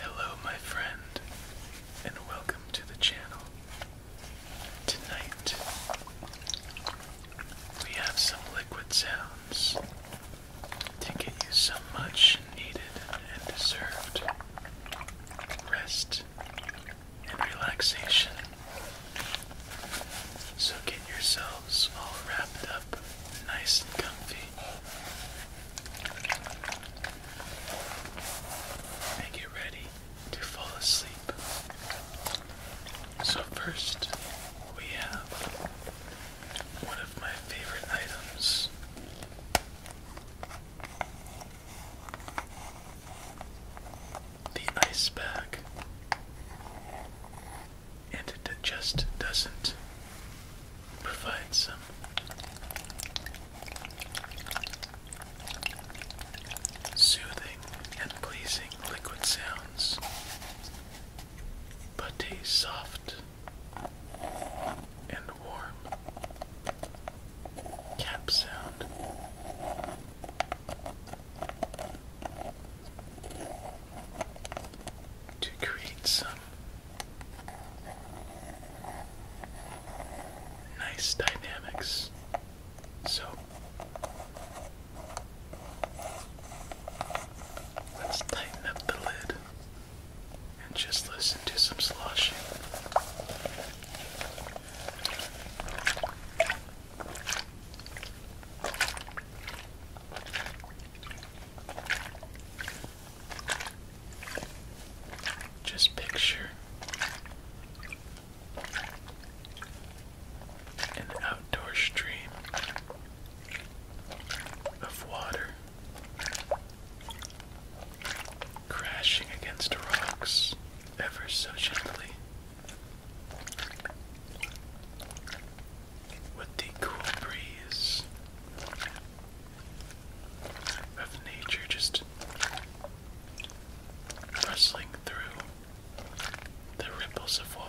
Hello, my friend, and welcome to the channel. Tonight, we have some liquid sounds to get you so much needed and deserved rest and relaxation. So get yourselves all wrapped up nice and comfy. And get ready to fall asleep. So, first, we have one of my favorite items the ice bag, and it just doesn't provide some soothing and pleasing liquid sounds, but a soft and warm cap sound to create some nice dynamics. So let's tighten up the lid and just listen to some sloshing. Just picture an outdoor stream of water crashing against rocks ever so gently with the cool breeze of nature just rustling through the ripples of water.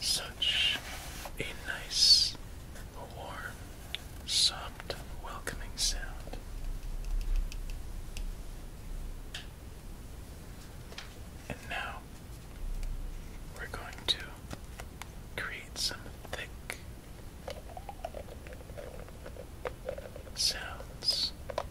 Such a nice, warm, soft, welcoming sound. And now we're going to create some thick sounds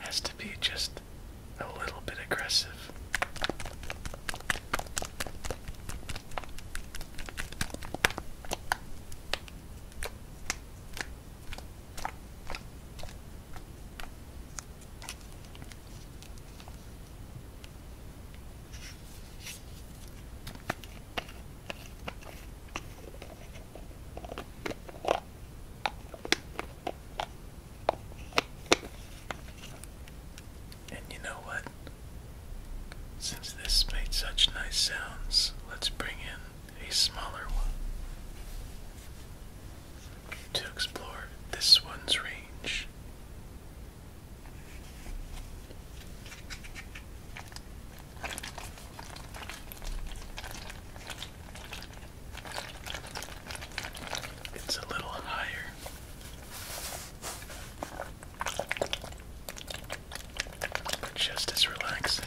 Has to be just a little bit aggressive. And you know what? Since this made such nice sounds, let's bring in a smaller one to explore this one's range. It's a little higher. But just as relaxing.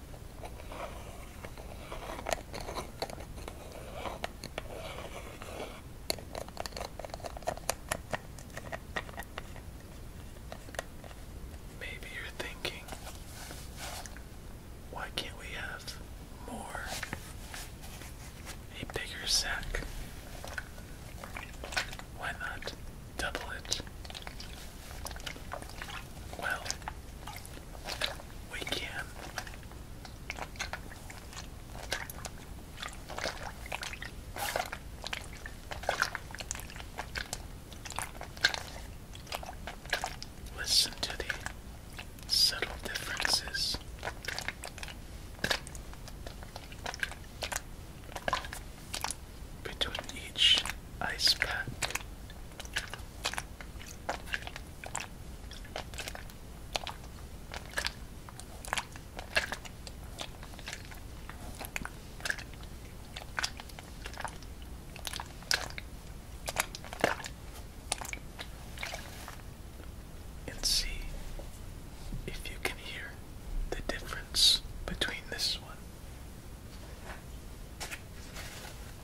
Maybe you're thinking, why can't we have more? A bigger sack. Why not double it? Well, we can listen to the subtle differences. Between each ice pack. And see if you can hear the difference between this one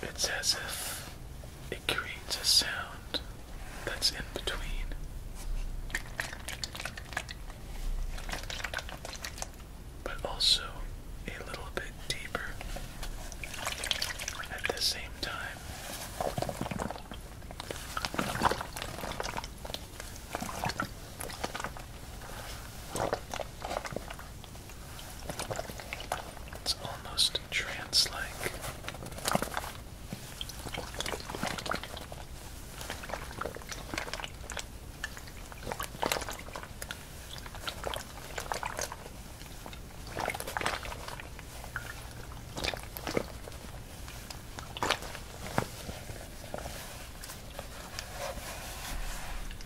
It's as if it creates a sound that's in between. But also a little bit deeper at the same time. It's almost trance like.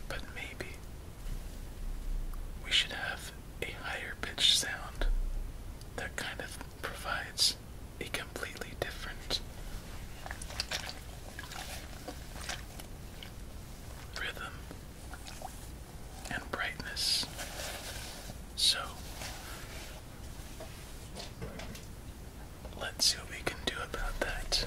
But maybe we should have a higher pitched sound that kind of provides a completely different rhythm and brightness. So let's see what we can do about that.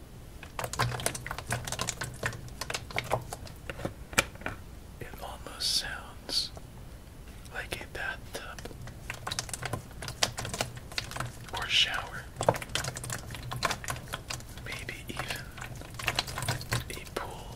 It almost sounds like a bathtub or shower, maybe even a pool.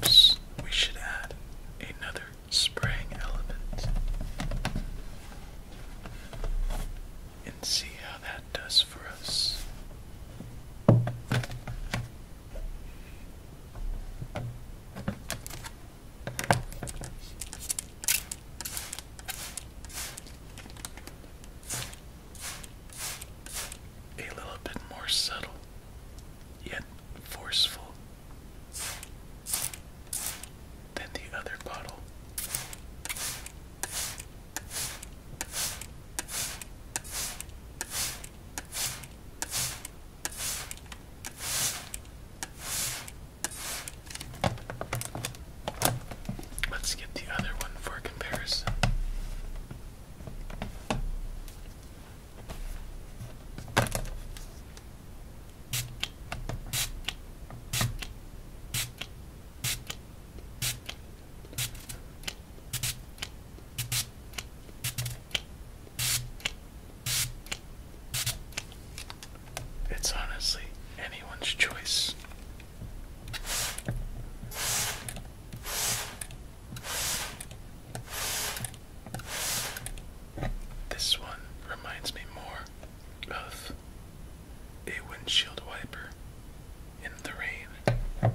Perhaps we should add another spraying element and see how that does for us. A little bit more subtle yet forceful than the other bottle. Let's get the other one for comparison. It's honestly anyone's choice. This one reminds me more of a windshield wiper in the rain.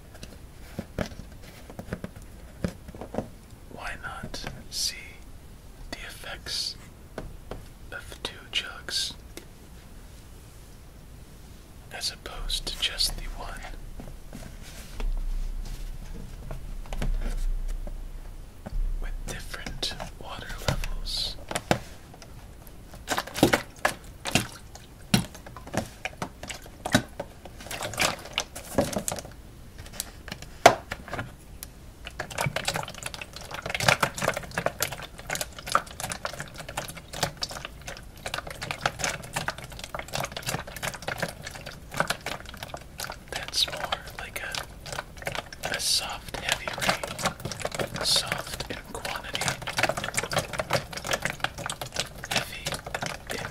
Why not see the effects of two jugs as opposed to just the one? With different water levels. That's more like a a soft heavy rain. Soft heavy in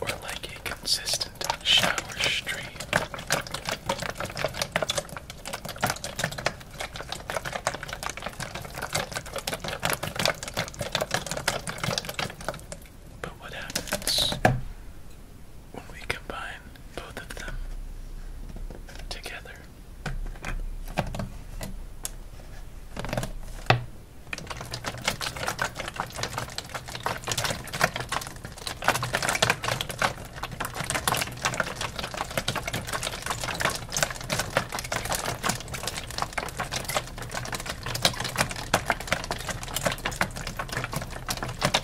or like a consistent shower stream. But what happens when we combine both of them together.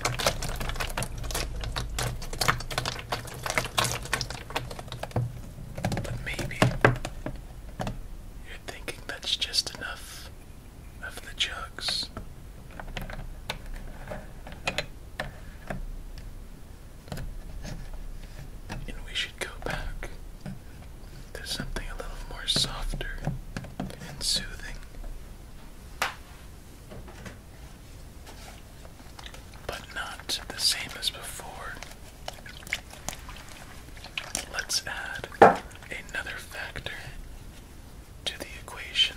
But maybe you're thinking that's just enough of the jugs. And we should go back to something a little more softer and soothing but not the same as before. Let's add another factor to the equation.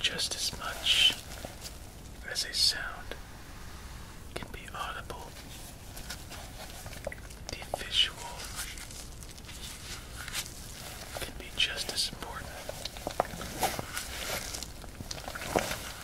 Just as much as a sound can be audible, the visual can be just as important.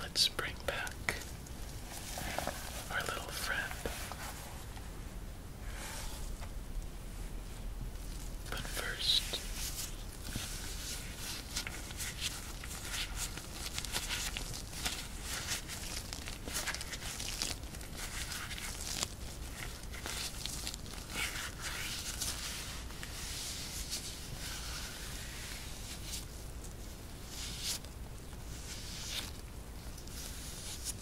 Let's bring back our little friend but first,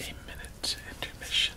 A minute intermission.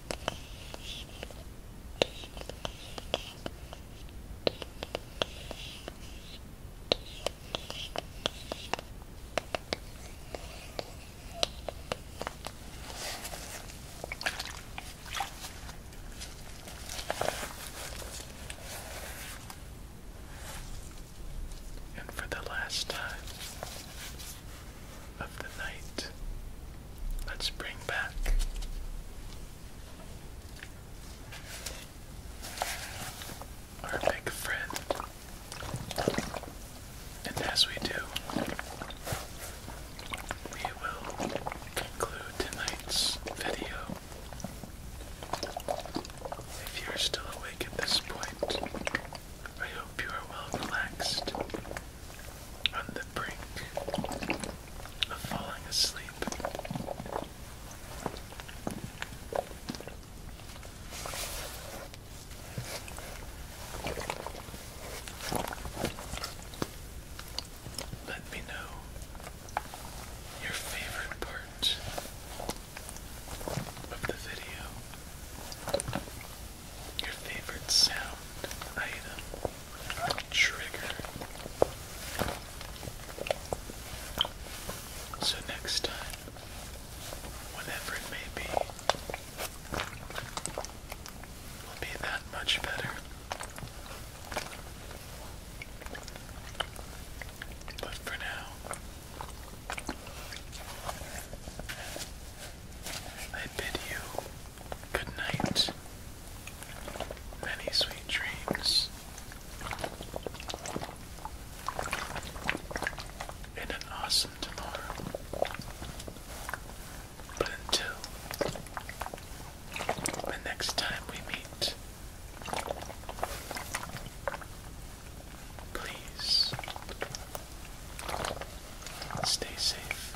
And for the last time of the night, Let's bring back our big friend. And as we do, we will conclude tonight's video. If you're still awake at this point, I hope you are well relaxed on the brink of falling asleep. Let me know your favorite part of the video, your favorite sound item, trigger. So next time, whatever it may be, will be that much better. But for now, I bid you good night. Many sweet dreams. And an awesome tomorrow. But until the next time we meet, please stay safe